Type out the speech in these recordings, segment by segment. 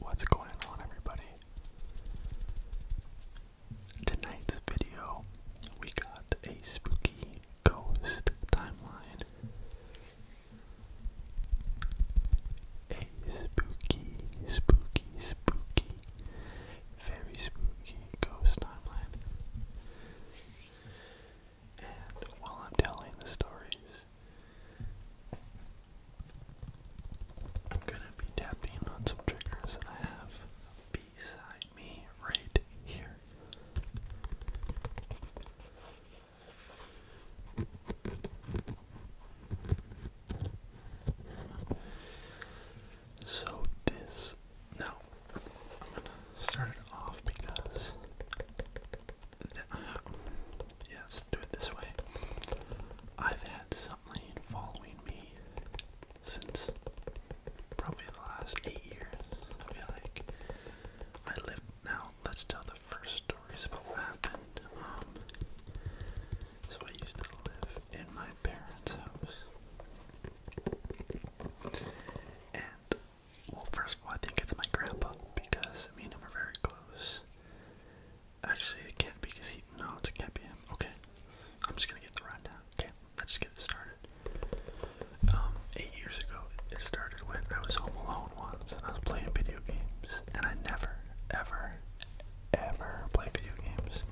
What's going on, everybody? Tonight's video, we got a spooky ghost timeline. A spooky, spooky, spooky, very spooky ghost timeline. And while I'm telling the stories, I'm gonna be tapping on some triggers I have beside me right here. So, this now, I'm gonna start it off because. Uh, yeah, do it this way. I've had something following me since probably the last eight years. I feel like I live now. Let's tell the first stories about what happened. Um, so I used to live in my parents' house, and, well, first of all, I think it's my grandpa because me and him are very close. Actually, it can't be because he. No, it can't be him. Okay. I'm just gonna get the rundown. Okay, let's get it started. Um, eight years ago, it started when I was home alone once and I was playing video games, and I never, ever, ever play video games.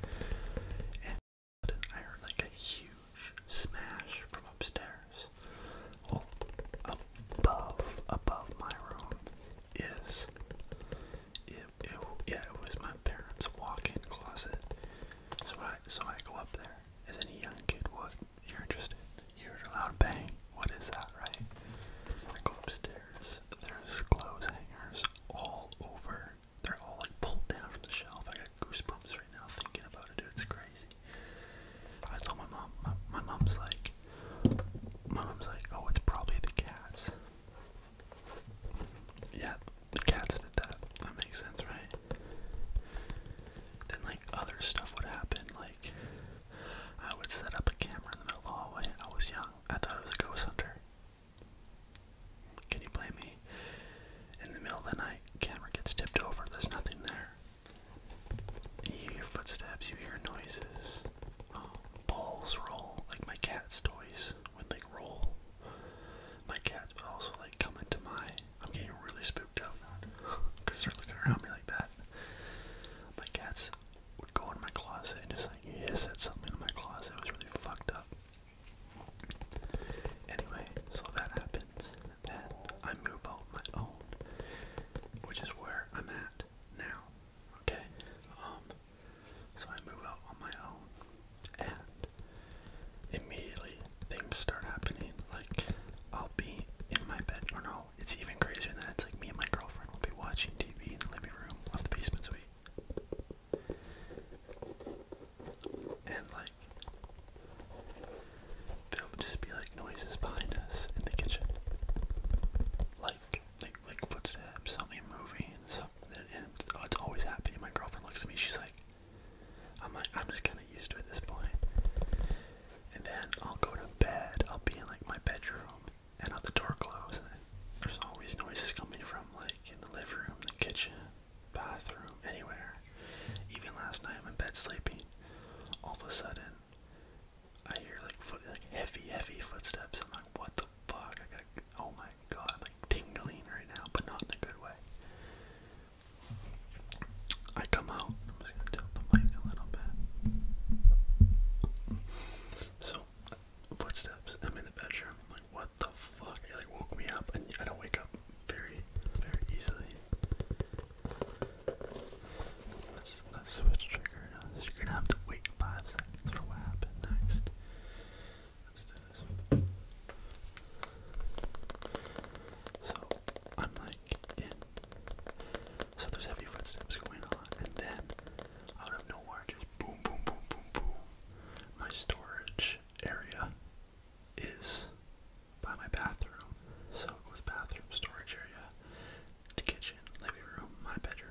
I heard like a huge smash from upstairs. Well, above, above my room is, it, it, yeah, it was my parents' walk-in closet. So I, so I go up there as any young kid would. You're interested. You heard a loud bang. What is that, right? I go upstairs. There's clothes hangers all over they're all like pulled down from the shelf. I got goosebumps right now thinking about it, It's crazy. I told my mom. My, mom's like, my mom's like, oh, it's probably the cats. Yeah, the cats did that. That makes sense, right? Then like other stuff would happen. Like I would set up a camera in the middle of the hallway. I was young. I thought I was a ghost hunter. Can you blame me? In the middle of the night, camera gets tipped over, there's nothing there. You hear footsteps, you hear noises. Oh, balls roll, like my cat's toys would like roll. My cat would also like come into my. I'm getting really spooked out now because they're looking around me like that. My cats would go into my closet and just like hiss at something in my closet. It was really fucked up. Anyway, so that happens. Then I move out my own, which is where I'm at now. Okay? Um so I move out on my own and immediately things start happening. Like I'll be in my bed or no, it's even crazier than that. It's like me and my girlfriend will be watching TV in the living room off the basement suite and like there would just be like noises behind us in the kitchen, like like like footsteps, something moving, something. And oh, it's always happening. My girlfriend looks at me. She's like, I'm like I'm just kind of used to it this point. And then I'll go to bed. I'll be in like my bedroom, and i the door closed. And there's always noises coming from like in the living room, the kitchen, bathroom, anywhere. Even last night, I'm in bed sleeping. All of a sudden, I hear like heavy, heavy footsteps. I'm like, what the fuck? I got, oh my god, am like tingling right now, but not in a good way. I come out. I'm just gonna tilt the mic a little bit. So, footsteps. I'm in the bedroom. I'm like, what the fuck? It like woke me up, and I don't wake up very, very easily. Let's, switch trigger You're gonna have to wait five seconds for what happened next. So I'm like in. So there's heavy footsteps going on, and then out of nowhere, just boom, boom, boom, boom, boom. My storage area is by my bathroom. So it was bathroom, storage area, the kitchen, living room, my bedroom.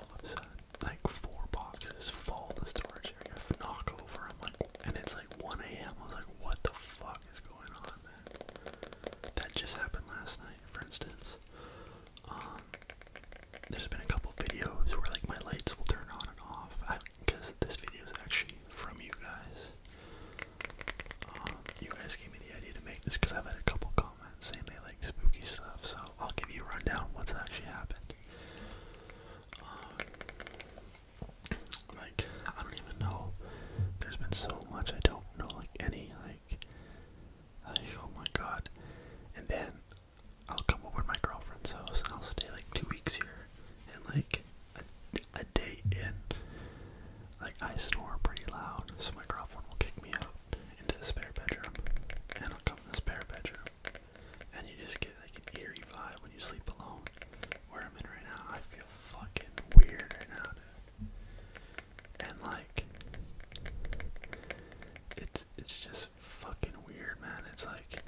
All of a sudden, like four boxes fall in the storage area, knock over. I'm like, and it's like 1 a.m. I was like, what the fuck is going on, man? That just happened last night, for instance. Um, there's been a couple videos where like my lights will turn on and off because this video is actually from you guys. Um, you guys gave me the idea to make this because i had a couple comments saying they like spooky stuff, so I'll give you rundown what's actually happened. Um, like, I don't even know. There's been so much I don't know, like, any, like, like, oh my god. And then I'll come over to my girlfriend's house and I'll stay like two weeks here. And like a, day in, like I snore pretty loud, so my girlfriend will kick me out into the spare bedroom. And I'll come to the spare bedroom. And you just get like an eerie vibe when you sleep alone. Where I'm in right now, I feel fucking weird right now, dude. And like, it's it's just fucking weird, man. It's like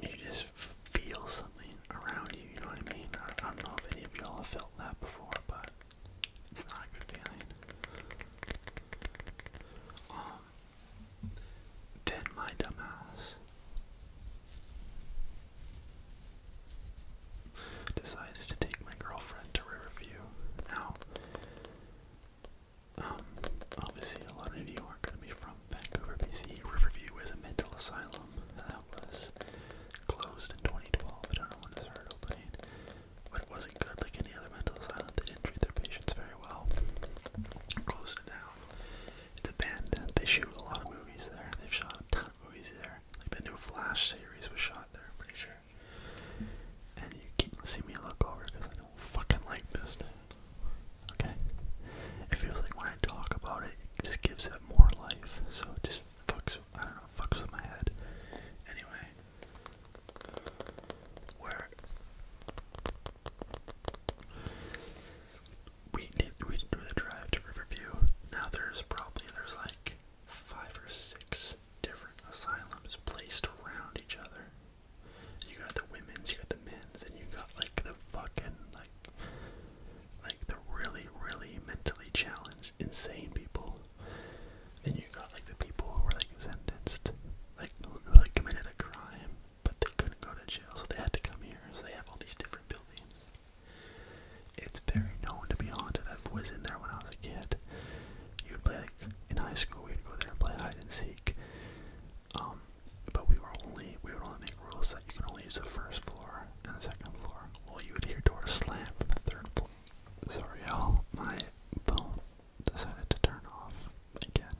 you just feel something around you, you know what I mean? I, don't know if any of y'all have felt that before, but it's not a good feeling. Um, then my dumbass decides to take my girlfriend to Riverview. Now, um, obviously, a lot of you are going to be from Vancouver, BC. Riverview is a mental asylum that was closed in 2012. I don't know when it started opening, but it wasn't good like any other mental asylum. They didn't treat their patients very well. Closed it down. It's abandoned. They shoot a lot of movies there. They've shot a ton of movies there. Like the new Flash series was shot there, I'm pretty sure. And you keep seeing me look over because I don't fucking like this. Now. Okay? It feels like when I talk about it, it just gives it more life. So it just fucks, I don't know, fucks with my head. Anyway. Where we we did the drive to Riverview. Now there's probably there's like five or six different asylums placed around each other. You got the women's, you got the men's, and you got like the fucking like like the really, really mentally challenged, insane people. Then you got like the people who were like sentenced, like who, who like committed a crime, but they couldn't go to jail, so they had to come here. So they have all these different buildings. It's very known to be haunted. I was in there when I was a kid. You'd play like in high school. We'd go there and play hide and seek. Um, but we were only we would only make rules that you can only use the first floor and the second floor. Well, you would hear doors slam from the third floor. Sorry, y'all, my phone decided to turn off again.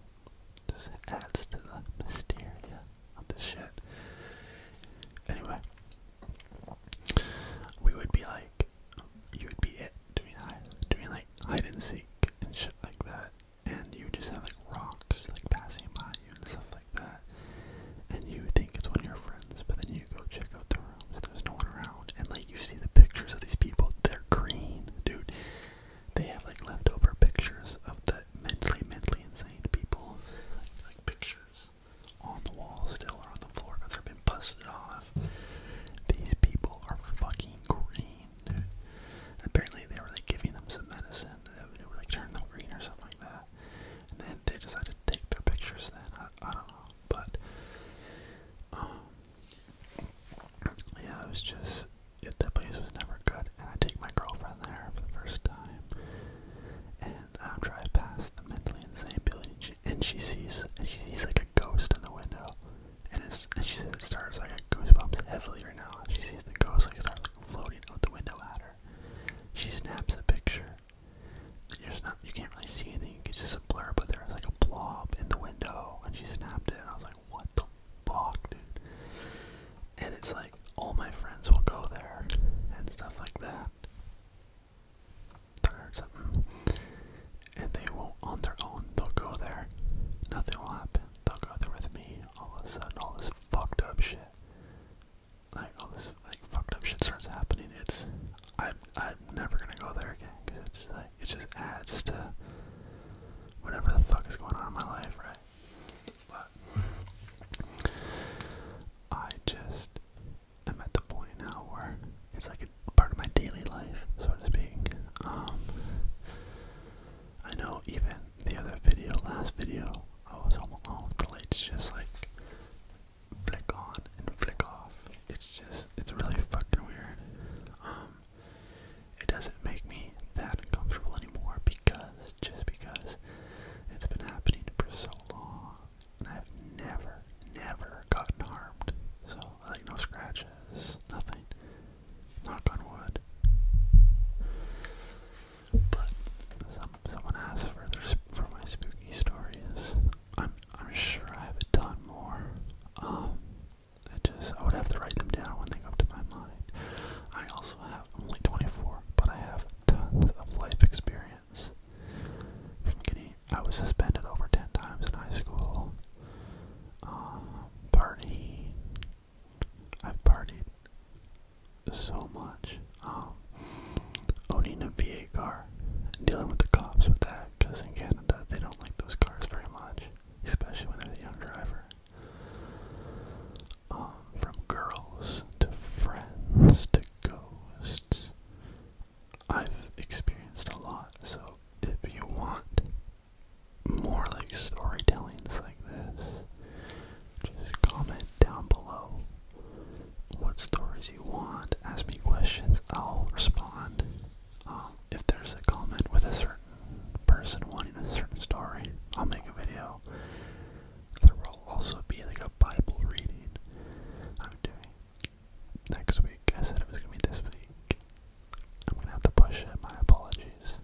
Just adds to the hysteria of this shit. Anyway, we would be like, you would be it doing hide, doing like hide and seek and shit like that and you just have like rocks like passing by you and stuff like that. And you think it's one of your friends, but then you go check out the rooms. There's no one around, and like you see the pictures of these people. They're green, dude. They have like leftover pictures of the mentally, mentally insane people, like, like pictures on the wall still or on the floor because they've been busted off. These people are fucking green. And apparently they were like giving them some medicine that would, it would like turn them green or something like that. And then they decided to take their pictures then. I, I don't know. But um yeah, it was just it, that place was never good. And I take my girlfriend there for the first time. And I drive past the mentally insane building, and she sees and she sees like a ghost in the window. And, it's, and she says it starts like a goosebumps heavily her now. She sees the ghost like start like, floating out the window at her. She snaps a picture. There's not you can't really see anything. It's just a blur, but there's like a blob in the window, and she snapped it. And I was like, what the fuck, dude? And it's like all my friends will go there and stuff like that. Or something. Mm. And they won't on their own. They'll go there. Nothing will happen. They'll go there with me all of a sudden all this fucked up shit, like all this like fucked up shit starts happening. It's I'm I'm never gonna go there again because it's like it just adds to whatever the fuck is going on in my life, right? But I just I'm at the point now where it's like part of my daily life, so to speak. Um, I know even the other video, last video, I was home alone. The lights just like flick on and flick off. It's just, it's really fucking weird. Um, it doesn't make me that uncomfortable anymore because, just because it's been happening for so long I've never, never gotten harmed. So, like, no scratches, nothing. Knock on wood. But some someone asked for for my spooky stories. I'm I'm sure I have a ton more. Um, I just I would have to write them down when they come to my mind. I also have only 24, but I have tons of life experience. From getting I was suspended over 10 times in high school. Um, I've partied so much. Um, owning a VA car, dealing with the cops with that, because in Canada they don't like those cars very much, especially when they're the young driver. Um, from girls to friends to ghosts, I've experienced a lot. So if you want more like storytellings like this, just comment down below what stories you want. Ask me questions. I'll respond. Um, if there's a comment with a certain person wanting a certain story, I'll make a video. There will also be like a Bible reading I'm doing next week. I said it was gonna be this week. I'm gonna have to push it. My apologies.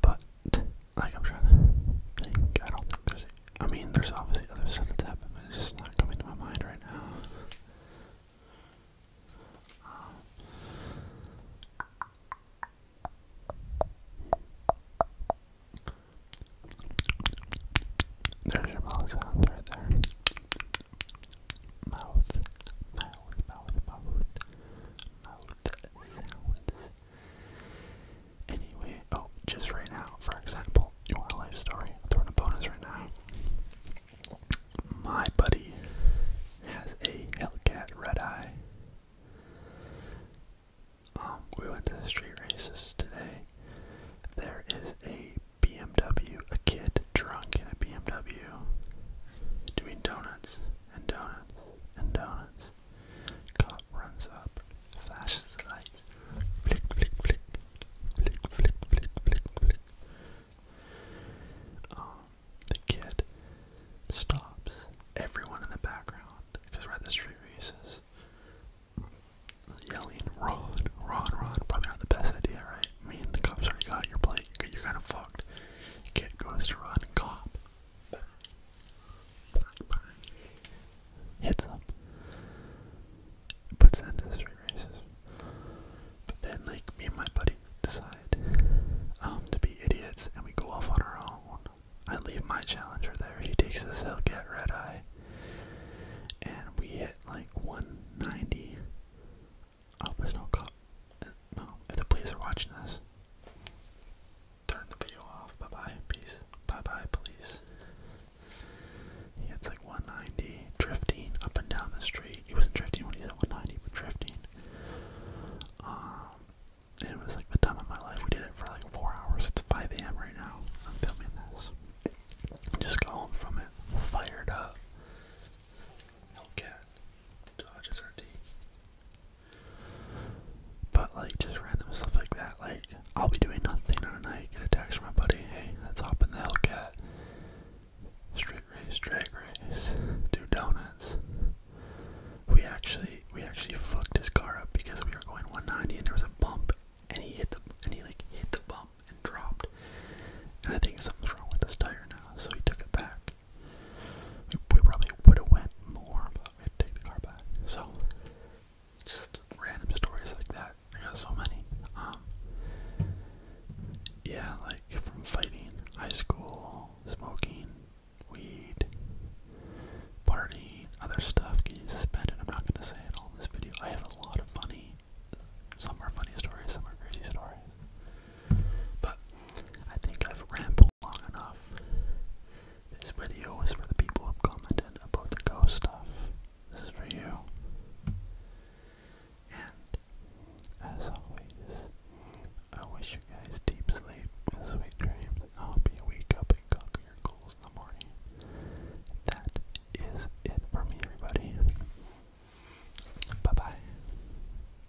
But like I'm trying to I there's. mean, there's obviously other stuff that's happening. but it's just not coming to my mind right now. there's your mouth sound right there. Mouth, mouth, mouth, mouth. Anyway, oh, just right now, for example, your life story? I'm throwing a bonus right now. My buddy has a Hellcat Red Eye. Um, we went to the street races today. There is a BMW, a kid drunk in a BMW doing donuts and donuts and donuts. Cop runs up, flashes the lights, flick, flick, flick, flick, flick, flick, flick, flick. Um, the kid stops everyone in the background because we're at the street races. Yelling, Ron, Ron, Ron, probably not the best idea, right? I mean, the cops already got your plate, you're, you're kind of fucked. Kid goes to run, cop. Heads up. bye. Puts an street races. But then, like, me and my buddy decide um, to be idiots and we go off on our own. I leave my challenger there. He takes his hill, get red eye. And we hit like 190 Oh, there's no cop. No, if the police are watching this, turn the video off. Bye bye, peace. Bye bye, police. He hits like 190, drifting up and down the street. He wasn't drifting when he was at 190, but drifting. Um, it was like the time of my life. We did it for like four hours. It's 5 a.m. right now. I'm filming this. Just got home from it, fired up. Hellcat dodges RT. But like just random stuff like that, like I'll be doing nothing and I get a text from my buddy, hey, let's hop in the Hellcat. Straight race, drag race, do donuts. We actually we actually fucked his car up because we were going 190 and there was a bump and he hit the and he like hit the bump and dropped. And I think something's wrong with this tire now, so he took it back. We probably would have went more, but we had to take the car back. So, just random stories like that. I got so many. Um, yeah, like from fighting, high school, smoking, weed, partying, other stuff, getting suspended. I'm not gonna say it all in this video. I have a lot of funny, some are funny stories, some are crazy stories. But I think I've rambled long enough. This video was for the people who commented about the ghost stuff. This is for you. And as always, I wish you guys deep sleep and sweet dreams. I hope you wake up and conquer your goals in the morning. That is it for me, everybody. Bye bye.